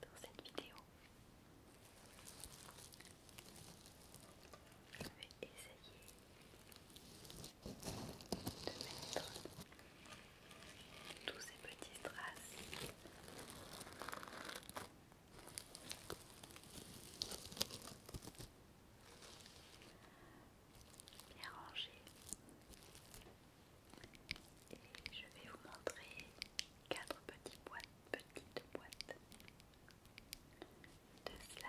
dans cette vidéo. Je vais essayer de mettre tous ces petits traces bien rangés et je vais vous montrer quatre petites boîtes, petites boîtes de slime différentes.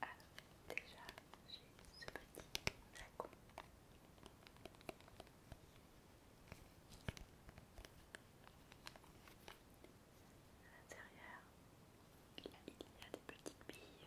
Alors, ah, déjà, j'ai ce petit flacon. À l'intérieur, il y a des petites billes.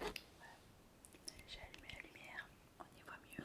Voilà. J'ai allumé la lumière, on y voit mieux.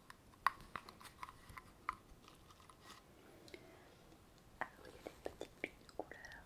Alors il y a des petites bulles de couleur.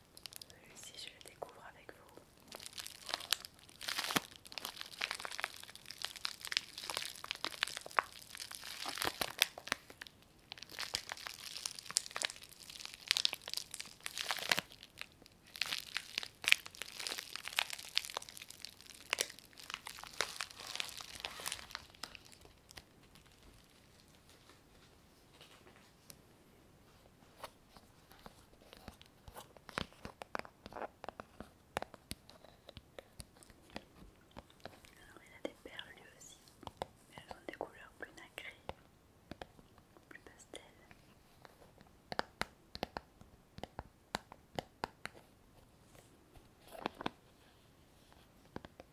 Celui-ci, je le découvre avec vous. Alors il a des perles lui aussi, mais elles ont des couleurs plus nacrées, plus pastel.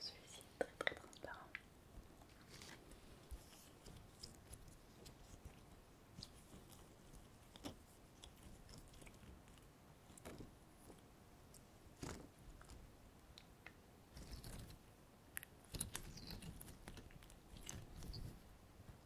Celui-ci est très très transparent.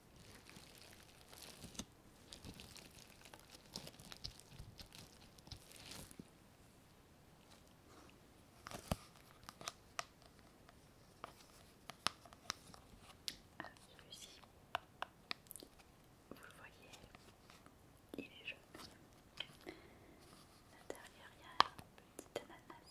Alors ah, celui-ci, vous le voyez, il est jaune. La l'intérieur, il y a un petit ananas.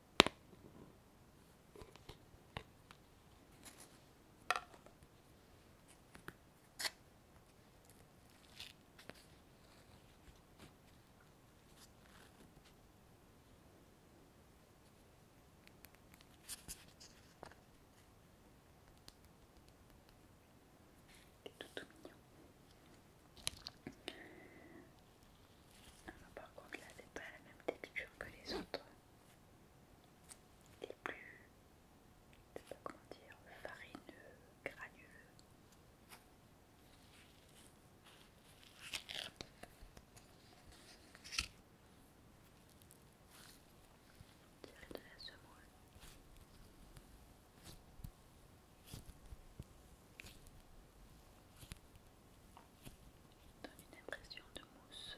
Tout, tout mignon. par contre, là, c'est pas la même texture que les autres les plus, je sais pas comment dire, farineux, granuleux. semoule donne une impression de mousse.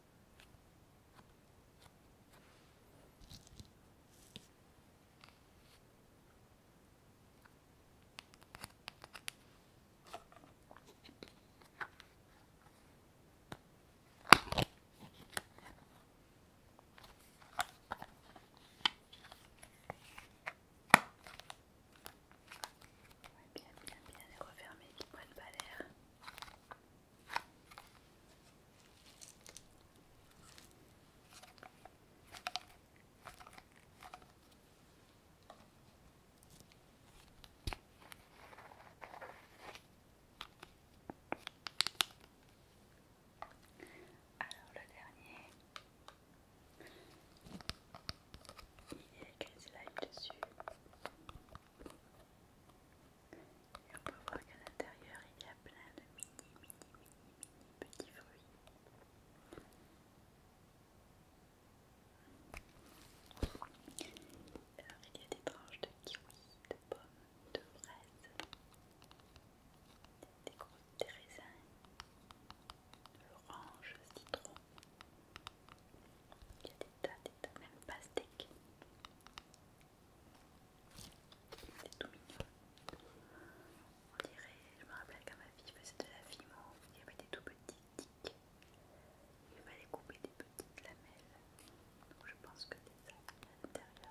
bien, bien, bien bien refermer, refermé, ne prennent pas alors le dernier, il est quasi dessus. Et on peut voir qu'à l'intérieur il y a plein de mini, mini, mini, mini petits fruits. Alors il y a des tranches de kiwi, de pommes, de fraises, des grosses raisins, de l'orange, citron. Il y a des même pas même C'est tout mignon. On dirait, je me rappelle quand ma fille faisait de la fimo, il y avait des tout petits tics. Il fallait couper des petites lamelles. Donc je pense que c'est ça à l'intérieur.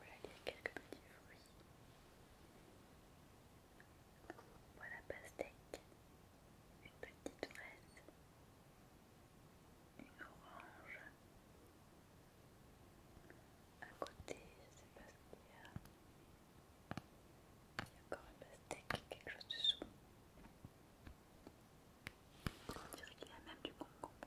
là, il y a quelques petits fruits. Voilà, pastèque, une petite fraise, une orange. À côté, je ne sais pas ce qu'il y a. Il y a encore une pastèque, quelque chose dessous. On dirait qu'il y a même du concombre.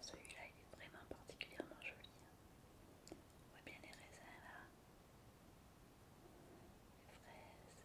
Celui-là, est vraiment particulièrement joli. Hein. On voit bien les raisins là, les fraises.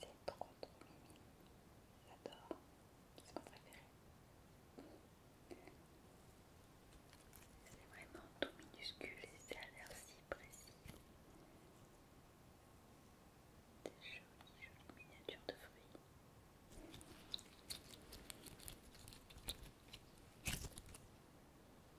C'est trop trop mimi. J'adore. C'est mon préféré. C'est vraiment tout minuscule et ça a l'air si précis. Des jolies, jolies miniatures de fruits.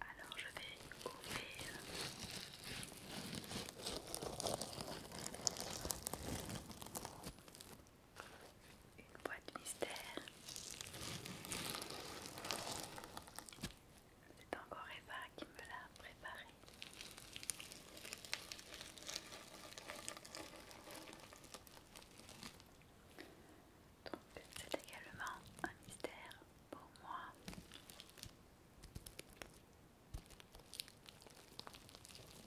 Alors je vais ouvrir une boîte mystère. C'est encore Eva qui me l'a préparée. Donc c'est également un mystère pour moi.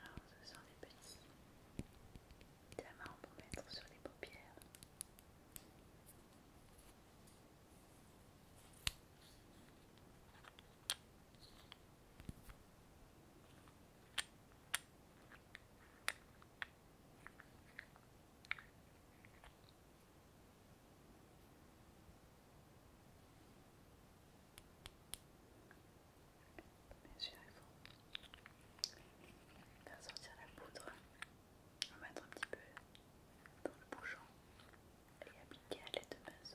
Alors ce sont des petits diamants pour mettre sur les paupières. Bien sûr, il faut faire sortir la poudre, va mettre un petit peu dans le bouchon et appliquer à l'aide de base.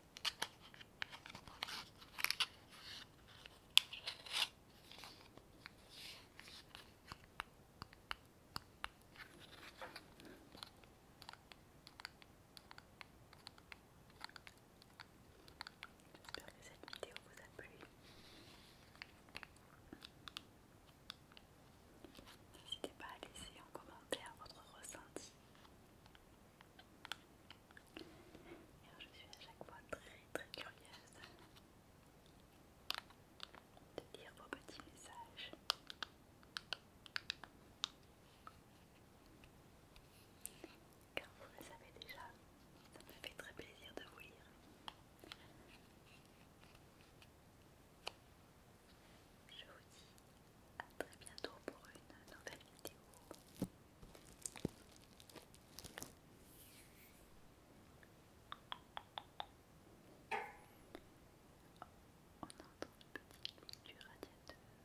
J'espère que cette vidéo vous a plu. N'hésitez pas à laisser en commentaire votre ressenti je suis à chaque fois très très curieuse de lire vos petits messages. Car vous le savez déjà, ça me fait très plaisir de vous lire. Je vous dis à très bientôt pour une nouvelle vidéo. On entend le petit clic du radiateur.